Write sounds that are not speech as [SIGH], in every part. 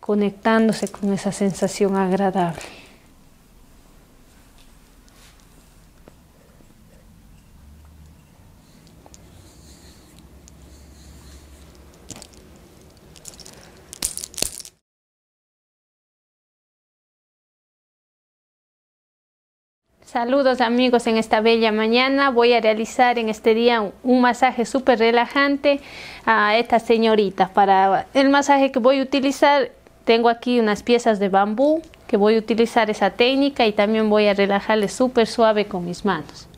conectándose con esa sensación agradable. Saludos amigos en esta bella mañana. Voy a realizar en este día un masaje súper relajante a estas señoritas. Para el masaje que voy a utilizar, tengo aquí unas piezas de bambú que voy a utilizar esa técnica y también voy a relajarle súper suave con mis manos.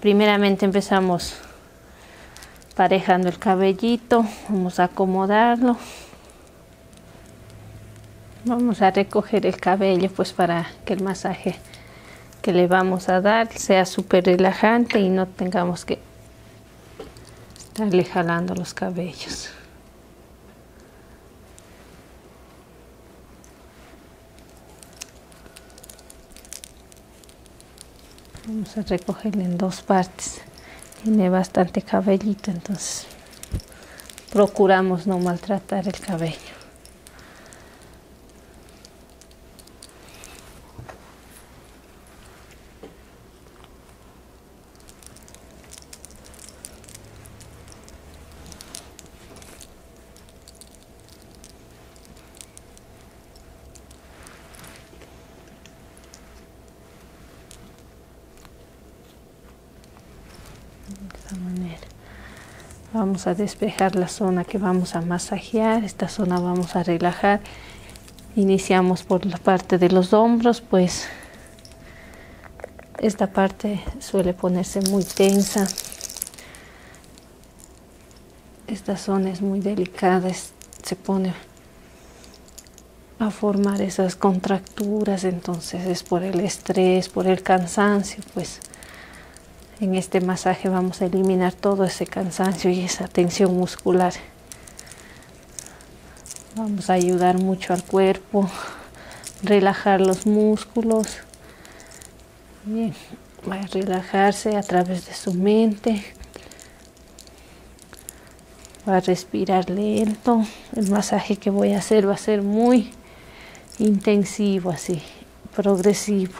primeramente empezamos parejando el cabellito, vamos a acomodarlo. Vamos a recoger el cabello pues para que el masaje que le vamos a dar sea súper relajante y no tengamos que estarle jalando los cabellos. Vamos a recogerle en dos partes. Tiene bastante cabellito, entonces procuramos no maltratar el cabello de esta manera Vamos a despejar la zona que vamos a masajear, esta zona vamos a relajar. Iniciamos por la parte de los hombros, pues esta parte suele ponerse muy tensa. Esta zona es muy delicada, se pone a formar esas contracturas, entonces es por el estrés, por el cansancio, pues en este masaje vamos a eliminar todo ese cansancio y esa tensión muscular. Vamos a ayudar mucho al cuerpo, relajar los músculos. va a relajarse a través de su mente. Va a respirar lento. El masaje que voy a hacer va a ser muy intensivo así progresivo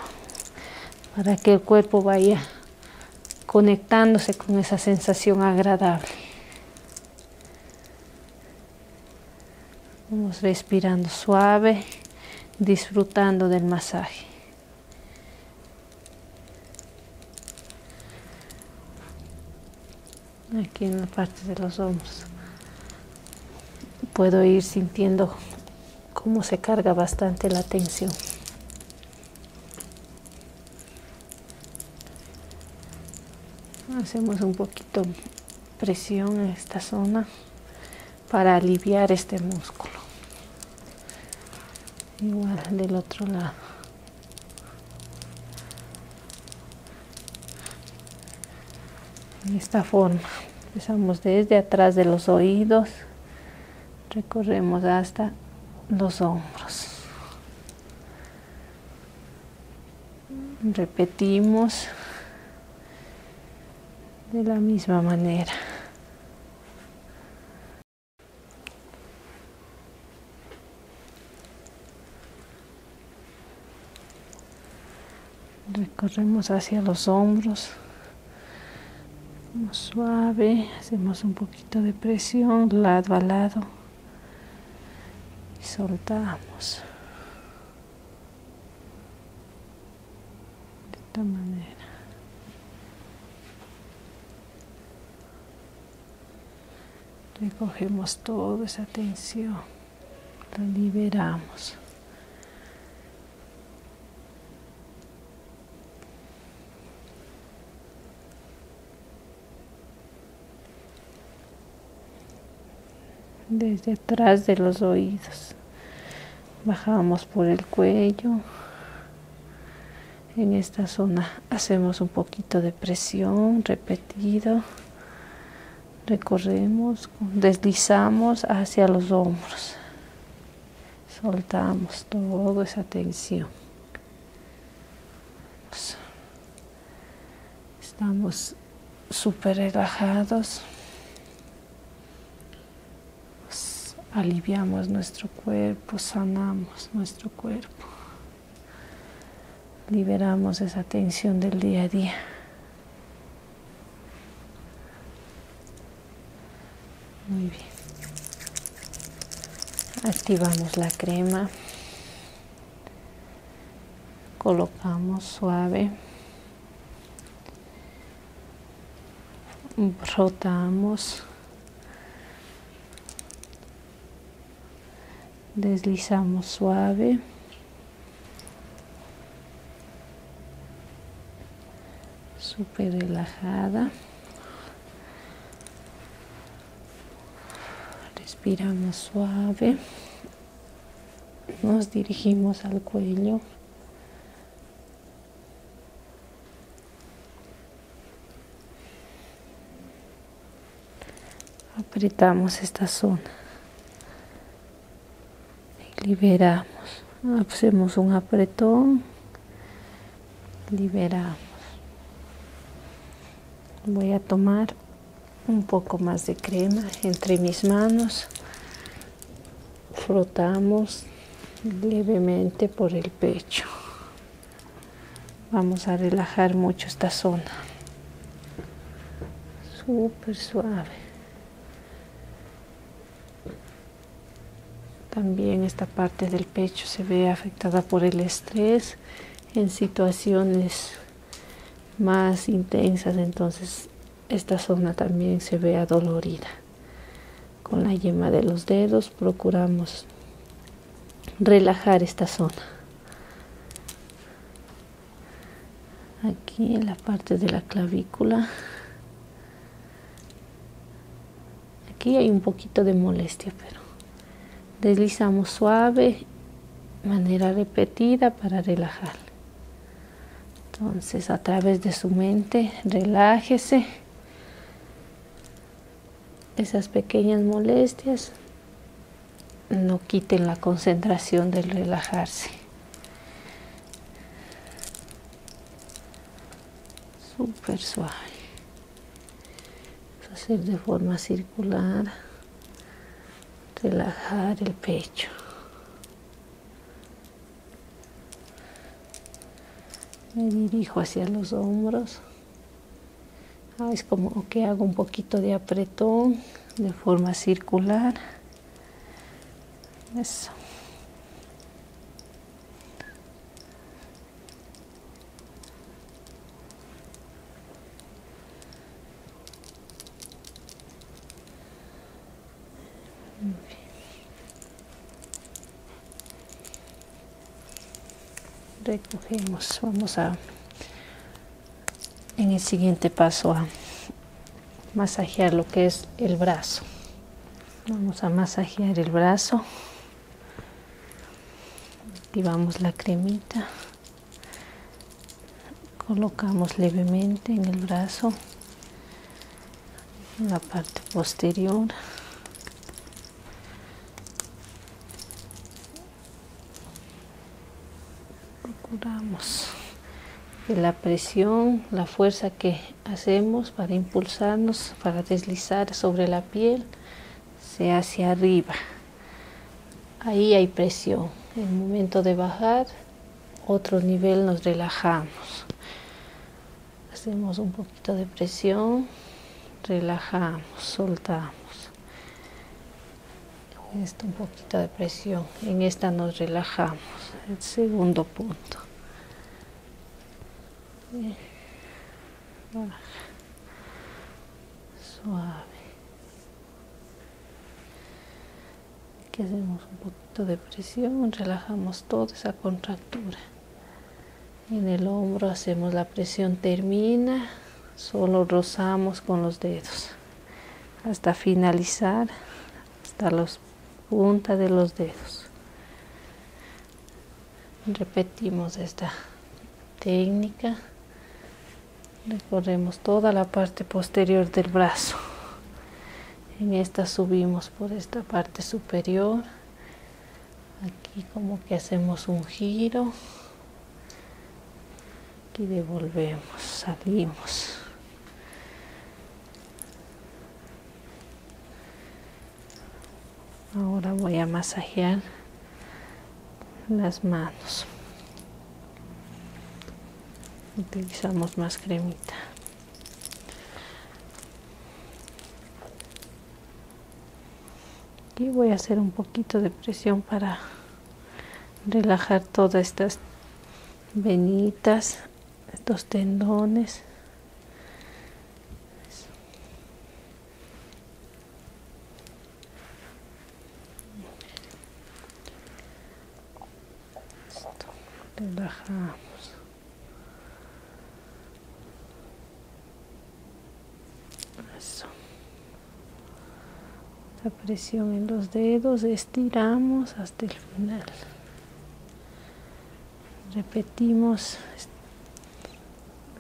para que el cuerpo vaya conectándose con esa sensación agradable. Vamos respirando suave, disfrutando del masaje. Aquí en la parte de los hombros puedo ir sintiendo cómo se carga bastante la tensión. Hacemos un poquito presión en esta zona para aliviar este músculo. Igual del otro lado de esta forma empezamos desde atrás de los oídos recorremos hasta los hombros repetimos de la misma manera recorremos hacia los hombros suave hacemos un poquito de presión lado a lado y soltamos de esta manera recogemos toda esa tensión la liberamos. Desde atrás de los oídos. Bajamos por el cuello. En esta zona hacemos un poquito de presión repetido recorremos, deslizamos hacia los hombros, soltamos toda esa tensión. Estamos súper relajados, aliviamos nuestro cuerpo, sanamos nuestro cuerpo, liberamos esa tensión del día a día. Muy bien. Activamos la crema. Colocamos suave. Rotamos. Deslizamos suave súper relajada. Respiramos suave. Nos dirigimos al cuello. Apretamos esta zona liberamos hacemos un apretón liberamos voy a tomar un poco más de crema entre mis manos frotamos levemente por el pecho vamos a relajar mucho esta zona super suave también esta parte del pecho se ve afectada por el estrés en situaciones más intensas, entonces esta zona también se ve adolorida. Con la yema de los dedos procuramos relajar esta zona aquí en la parte de la clavícula aquí hay un poquito de molestia pero deslizamos suave manera repetida para relajar entonces a través de su mente relájese esas pequeñas molestias no quiten la concentración del relajarse super suave hacer de forma circular relajar el pecho me dirijo hacia los hombros ah, es como que hago un poquito de apretón de forma circular eso. recogemos vamos a en el siguiente paso a masajear lo que es el brazo. Vamos a masajear el brazo. Activamos la cremita. Colocamos levemente en el brazo, la parte posterior procuramos que la presión, la fuerza que hacemos para impulsarnos, para deslizar sobre la piel, sea hacia arriba. Ahí hay presión. En el momento de bajar, otro nivel nos relajamos. Hacemos un poquito de presión, relajamos, soltamos. Esto un de presión. En esta nos relajamos. El segundo punto. Suave. hacemos un poquito de presión. Relajamos toda esa contractura. En el hombro hacemos la presión. Termina. Solo rozamos con los dedos. Hasta finalizar. Hasta los punta de los dedos. Repetimos esta técnica. Recorremos toda la parte posterior del brazo. En esta subimos por esta parte superior. Aquí como que hacemos un giro. y devolvemos, salimos. Ahora voy a masajear las manos. Utilizamos más cremita. Y voy a hacer un poquito de presión para relajar todas estas venitas estos tendones relajamos Eso. la presión en los dedos estiramos final repetimos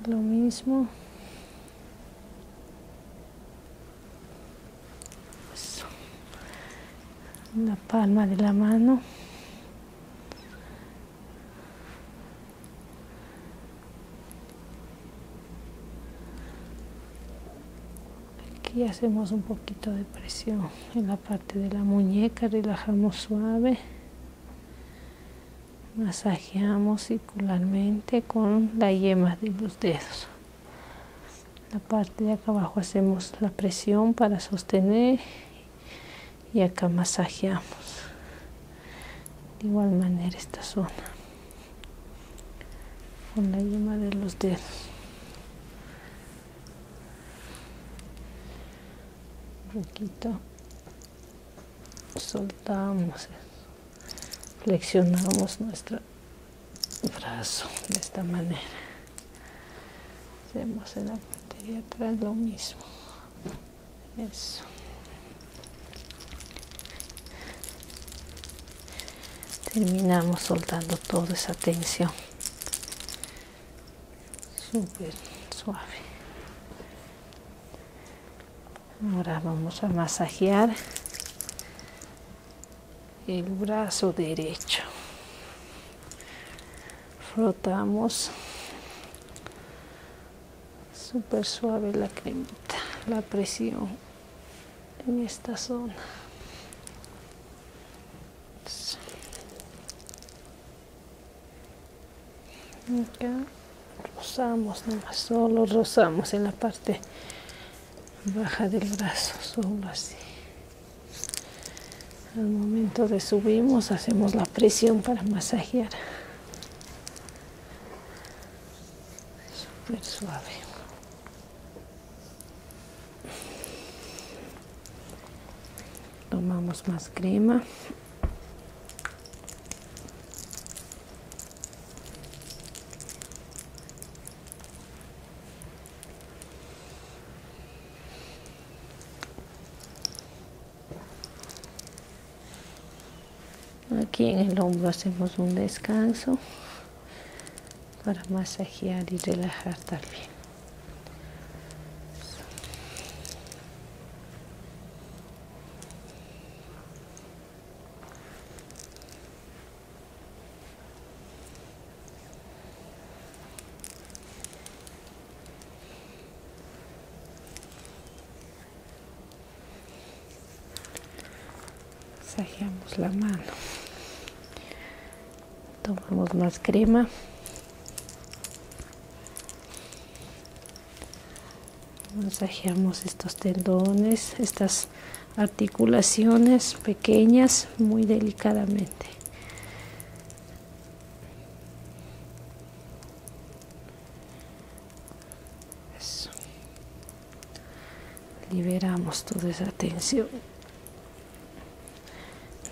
lo mismo la palma de la mano Aquí hacemos un poquito de presión en la parte de la muñeca, relajamos suave. Masajeamos circularmente con la yema de los dedos. La parte de acá abajo hacemos la presión para sostener y acá masajeamos. De igual manera esta zona con la yema de los dedos un poquito soltamos flexionamos nuestro brazo de esta manera hacemos en la parte de atrás lo mismo eso terminamos soltando toda esa tensión súper suave ahora vamos a masajear el brazo derecho frotamos súper suave la cremita la presión en esta zona acá rozamos nomás solo rozamos en la parte baja del brazo solo así al momento de subimos hacemos la presión para masajear súper suave tomamos más crema aquí en el hombro hacemos un descanso para masajear y relajar también. Masajeamos la mano tomamos más crema masajeamos estos tendones estas articulaciones pequeñas muy delicadamente liberamos toda esa tensión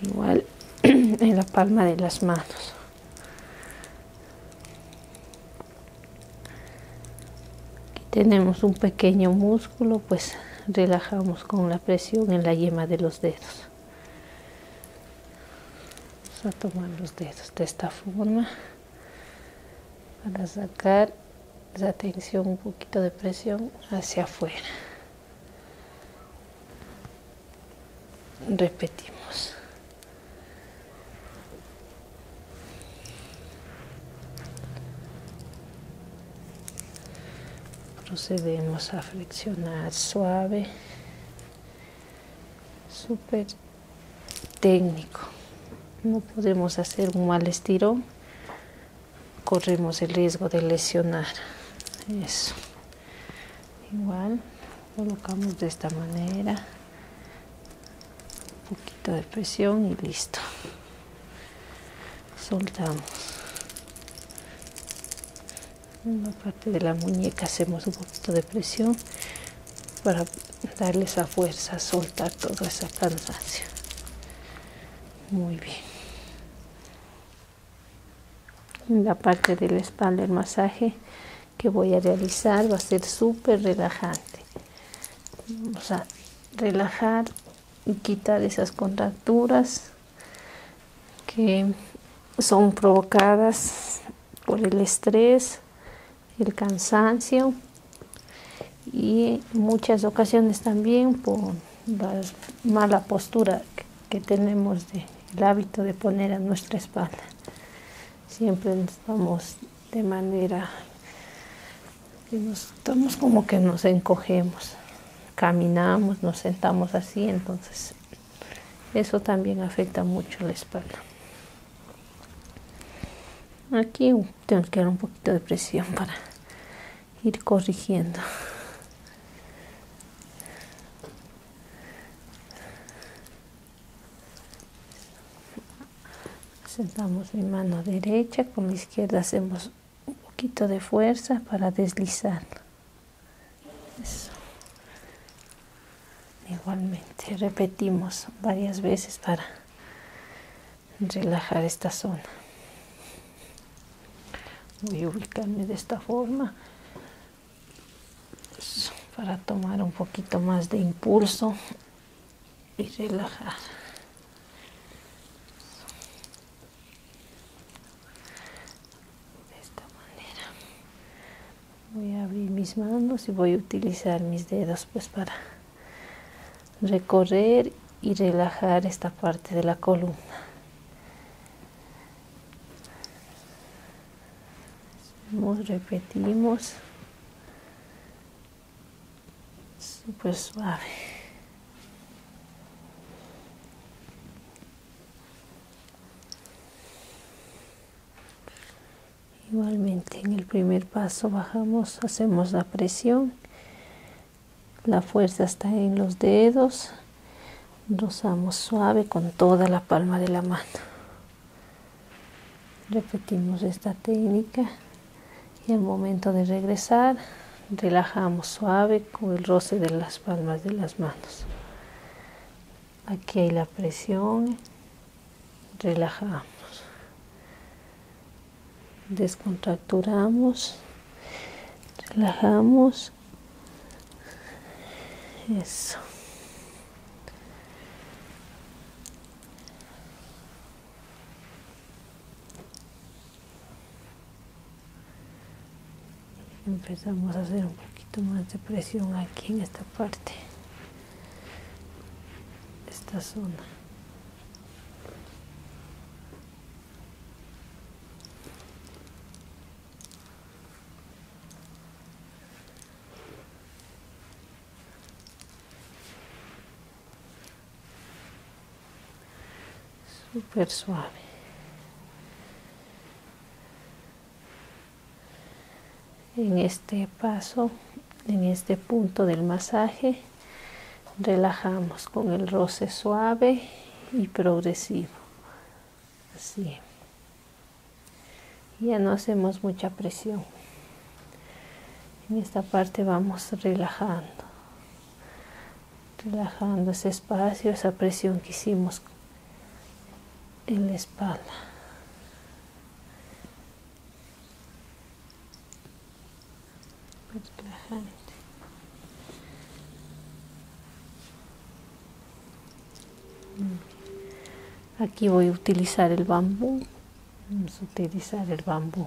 igual [CLEARS THROAT] en la palma de las manos aquí tenemos un pequeño músculo pues relajamos con la presión en la yema de los dedos vamos a tomar los dedos de esta forma para sacar la tensión un poquito de presión hacia afuera Repetimos. Procedemos a flexionar suave, súper técnico. No podemos hacer un mal estirón corremos el riesgo de lesionar. Eso. Igual colocamos de esta manera. Un poquito de presión y listo. Soltamos. En la parte de la muñeca hacemos un poquito de presión para darle esa fuerza, soltar toda esa cansancio. Muy bien en la parte de la espalda el masaje que voy a realizar va a ser súper relajante vamos a relajar y quitar esas contracturas que son provocadas por el estrés el cansancio y muchas ocasiones también por la mala postura que tenemos de, el hábito de poner a nuestra espalda. Siempre estamos de manera que nos estamos como que nos encogemos, caminamos, nos sentamos así, entonces eso también afecta mucho la espalda. Aquí tengo que dar un poquito de presión para ir corrigiendo. Sentamos mi mano derecha, con la izquierda hacemos un poquito de fuerza para deslizar. Igualmente, repetimos varias veces para relajar esta zona voy a ubicarme de esta forma para tomar un poquito más de impulso y relajar de esta manera voy a abrir mis manos y voy a utilizar mis dedos pues para recorrer y relajar esta parte de la columna repetimos super suave igualmente en el primer paso bajamos hacemos la presión la fuerza está en los dedos. Rozamos suave con toda la palma de la mano. Repetimos esta técnica y al momento de regresar relajamos suave con el roce de las palmas de las manos. Aquí hay la presión. Relajamos descontracturamos, relajamos. Eso. Empezamos a hacer un poquito más de presión aquí en esta parte, esta zona super suave. En este paso, en este punto del masaje, relajamos con el roce suave y progresivo así ya no hacemos mucha presión en esta parte vamos relajando relajando ese espacio esa presión que hicimos en la espalda Mm. Aquí voy a utilizar el bambú. Vamos a utilizar el bambú.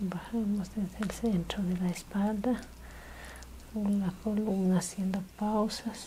bajamos desde el centro de la espalda con la columna haciendo pausas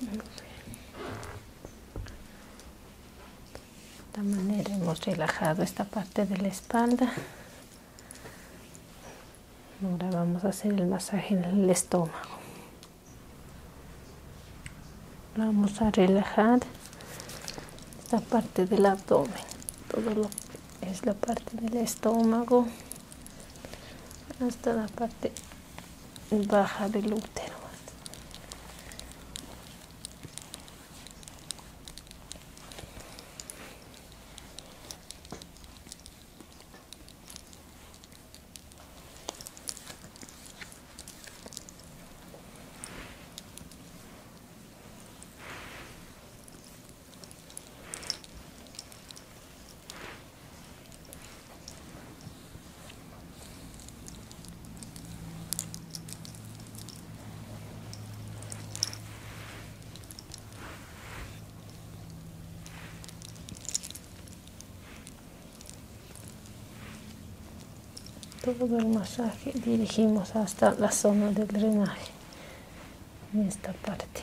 De esta manera hemos relajado esta parte de la espalda. Ahora vamos a hacer el masaje en el estómago. Vamos a relajar esta parte del abdomen. Todo lo que es la parte del estómago hasta la parte baja del útero todo el masaje dirigimos hasta la zona del drenaje en esta parte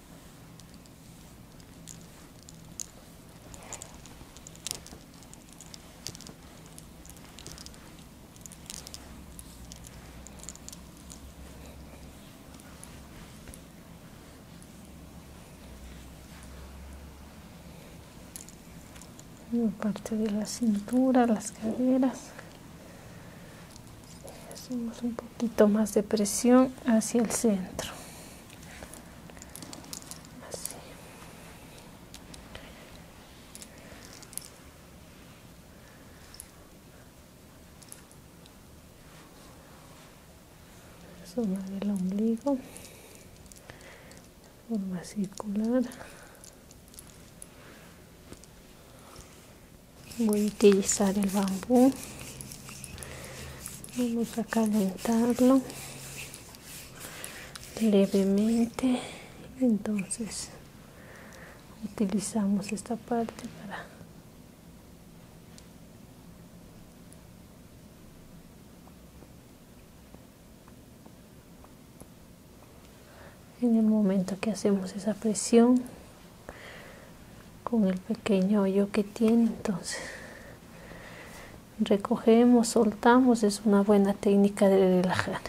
la parte de la cintura, las caderas poquito más de presión hacia el centro Así. el ombligo de forma circular voy a utilizar el bambú vamos a calentarlo levemente entonces utilizamos esta parte para en el momento que hacemos esa presión con el pequeño hoyo que tiene entonces recogemos soltamos es una buena técnica de relajar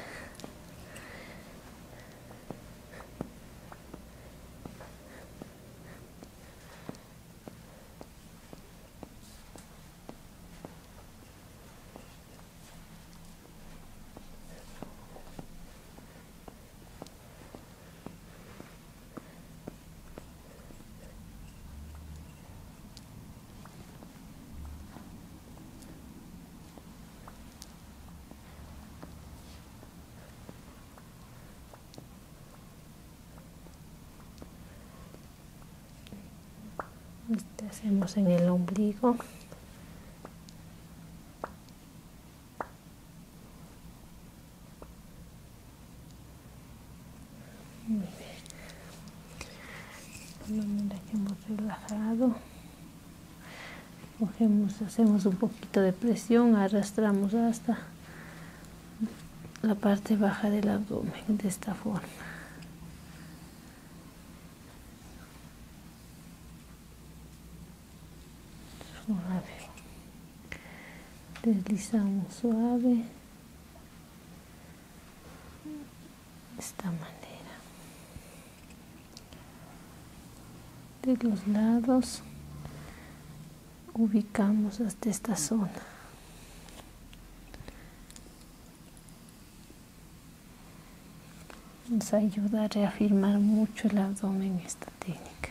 este hacemos en el ombligo muy bien. Mira que hemos relajado. Cogemos, hacemos un poquito de presión, arrastramos hasta la parte baja del abdomen de esta forma deslizamos suave de esta manera de los lados ubicamos hasta esta zona nos ayuda a reafirmar mucho el abdomen esta técnica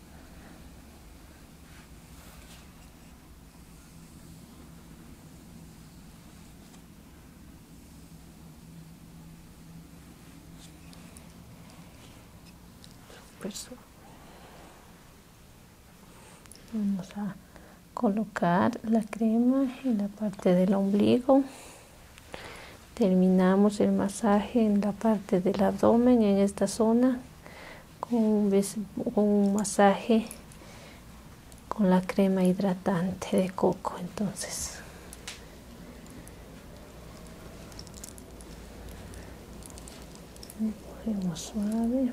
Vamos a colocar la crema en la parte del ombligo. Terminamos el masaje en la parte del abdomen, en esta zona, con un, masaje con la crema hidratante de coco. Entonces, cogemos suave.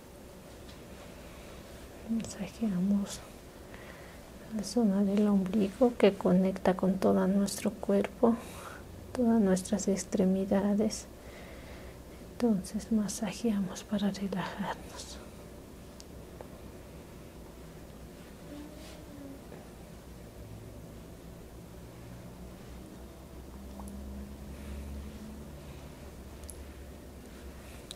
Masajeamos la zona del ombligo que conecta con todo nuestro cuerpo, todas nuestras extremidades. Entonces masajeamos para relajarnos.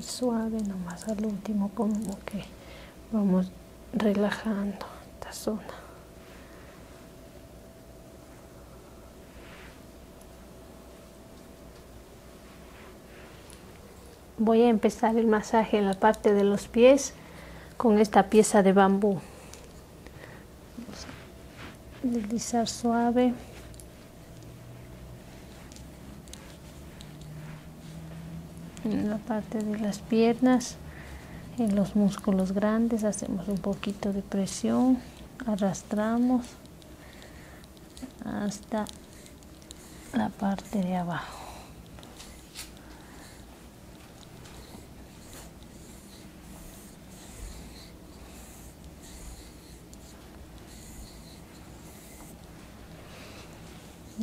suave nomás al último como que vamos relajando esta zona voy a empezar el masaje en la parte de los pies con esta pieza de bambú deslizar suave en la parte de las piernas en los músculos grandes hacemos un poquito de presión arrastramos hasta la parte de abajo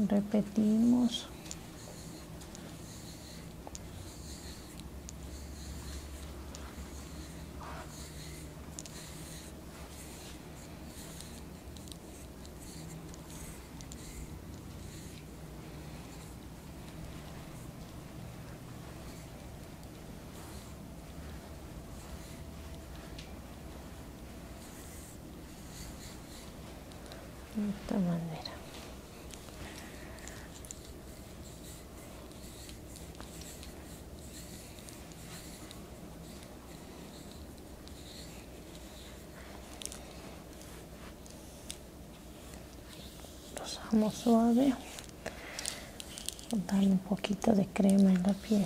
repetimos de esta manera rozamos suave darle un poquito de crema en la piel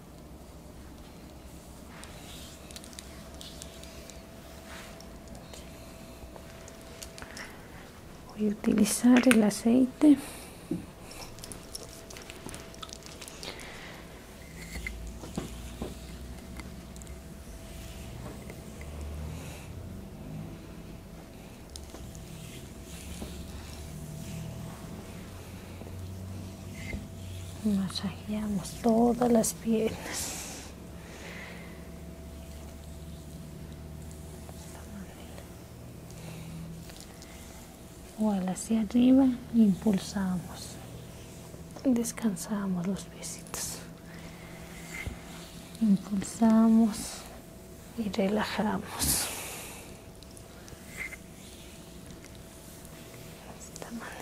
voy a utilizar el aceite Masajeamos todas las piernas. o hacia arriba, impulsamos. Descansamos los besitos Impulsamos y relajamos esta manera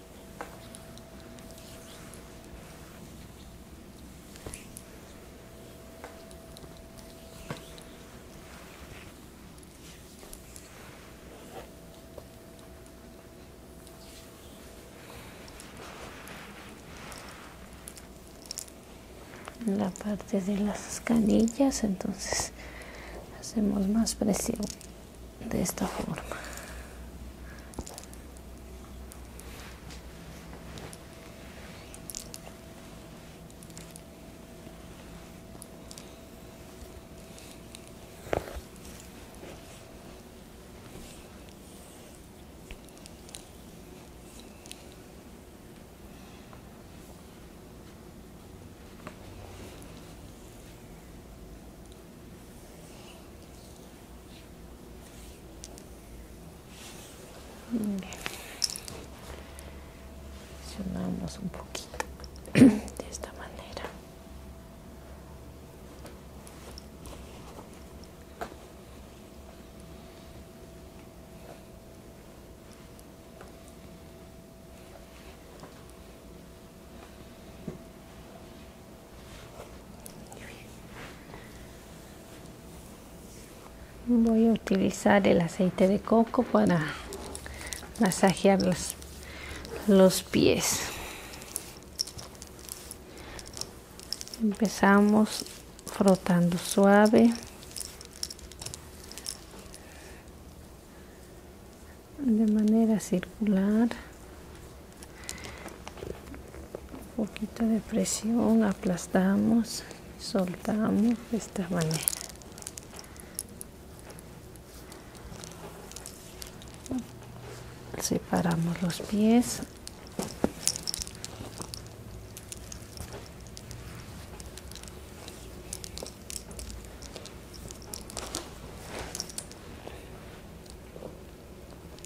la parte de las canillas entonces hacemos más presión de esta forma. Bien. Presionamos un poquito de esta manera voy a utilizar el aceite de coco para masajear los, los pies empezamos frotando suave de manera circular un poquito de presión aplastamos soltamos de esta manera separamos los pies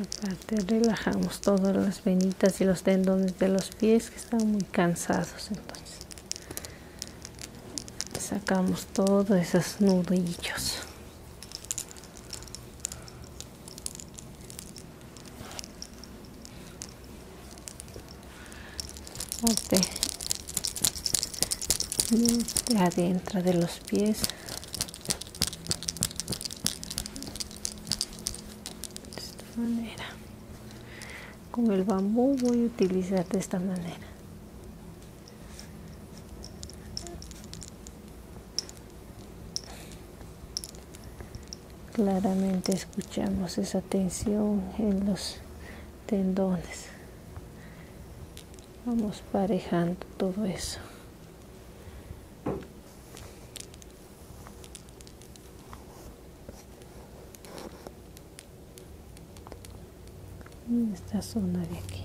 Aparte relajamos todas las venitas y los tendones de los pies que están muy cansados entonces sacamos todos esos nudillos parte este. adentro de los pies de esta manera con el bambú voy a utilizar de esta manera claramente escuchamos esa tensión en los tendones vamos parejando todo eso en esta zona de aquí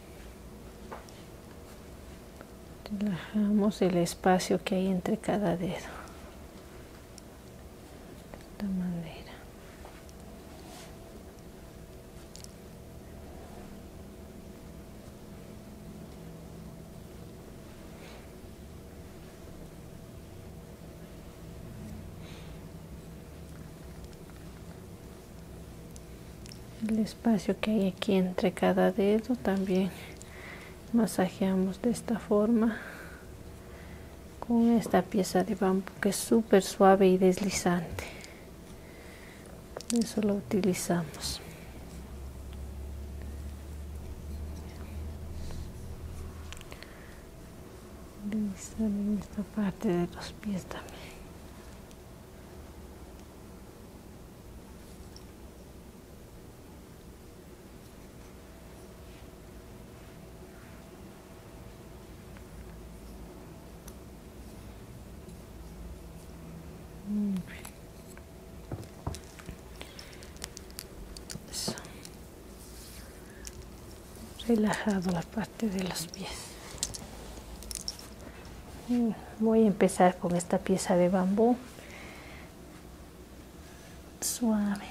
relajamos el espacio que hay entre cada dedo de esta manera el espacio que hay aquí entre cada dedo también masajeamos de esta forma con esta pieza de bambú que es súper suave y deslizante eso lo utilizamos en esta parte de los pies también Relajado la parte de los pies. Mm, voy a empezar con esta pieza de bambú suave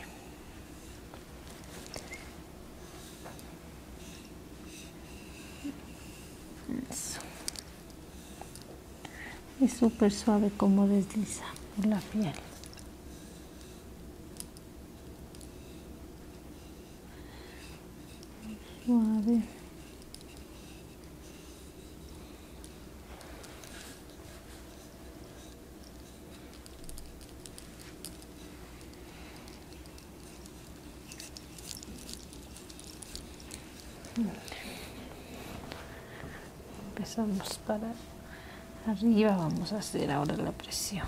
es súper suave como desliza por la piel suave Empezamos para arriba, vamos a hacer ahora la presión.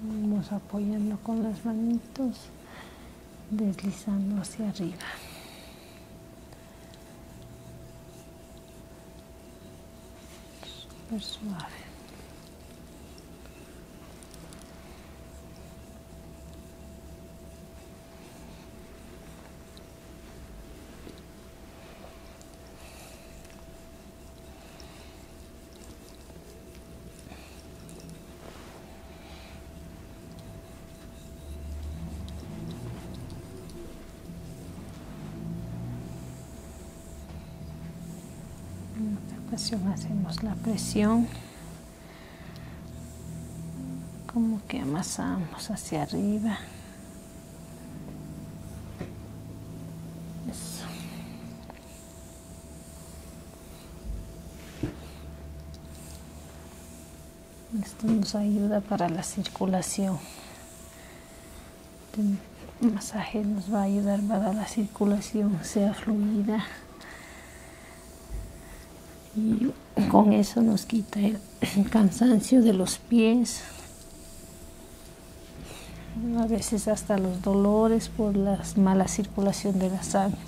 Vamos apoyando con las manitos, deslizando hacia arriba. suave. En otra ocasión hacemos la presión como que amasamos hacia arriba esto nos ayuda para la circulación. El masaje nos va a ayudar para la circulación sea fluida. Y con eso nos quita el cansancio de los pies. A veces hasta los dolores por la mala circulación de la sangre.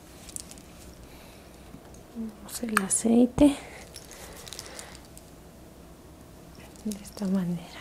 Vamos el aceite de esta manera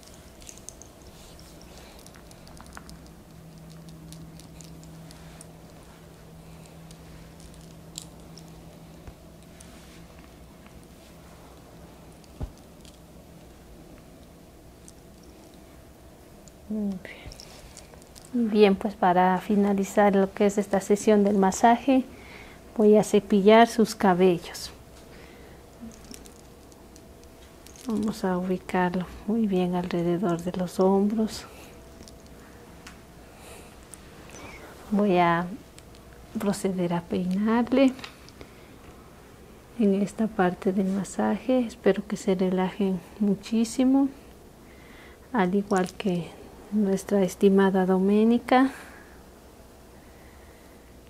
Bien, pues para finalizar lo que es esta sesión del masaje, voy a cepillar sus cabellos. Vamos a ubicarlo muy bien alrededor de los hombros. Voy a proceder a peinarle en esta parte del masaje. Espero que se relaje muchísimo, al igual que nuestra estimada Doménica.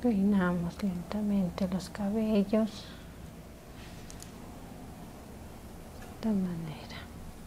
Peinamos lentamente los cabellos de manera.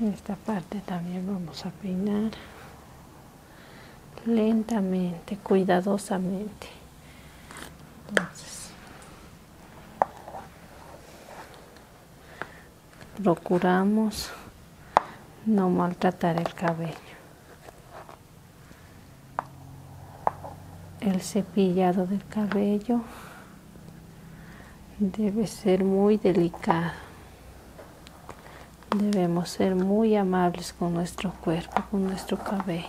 en esta parte también vamos a peinar lentamente cuidadosamente entonces procuramos no maltratar el cabello el cepillado del cabello debe ser muy delicado. Debemos ser muy amables con nuestro cuerpo, con nuestro cabello.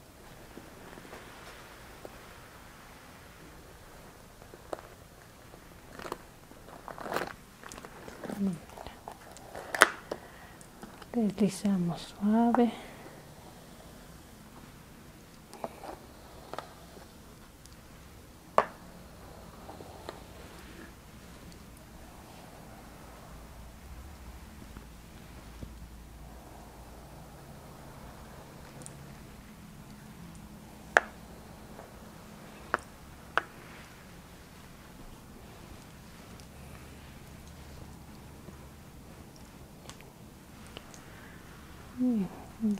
deslizamos suave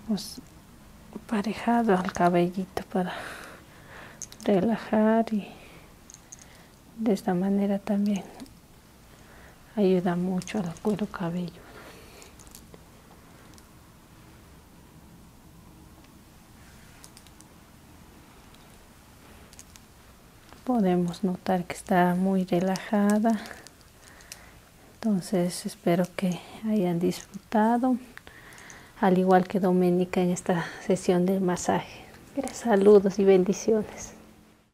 Hemos parejado al cabellito para relajar y de esta manera también ayuda mucho al cuero cabello podemos notar que está muy relajada entonces espero que hayan disfrutado al igual que Doménica en esta sesión del masaje saludos y bendiciones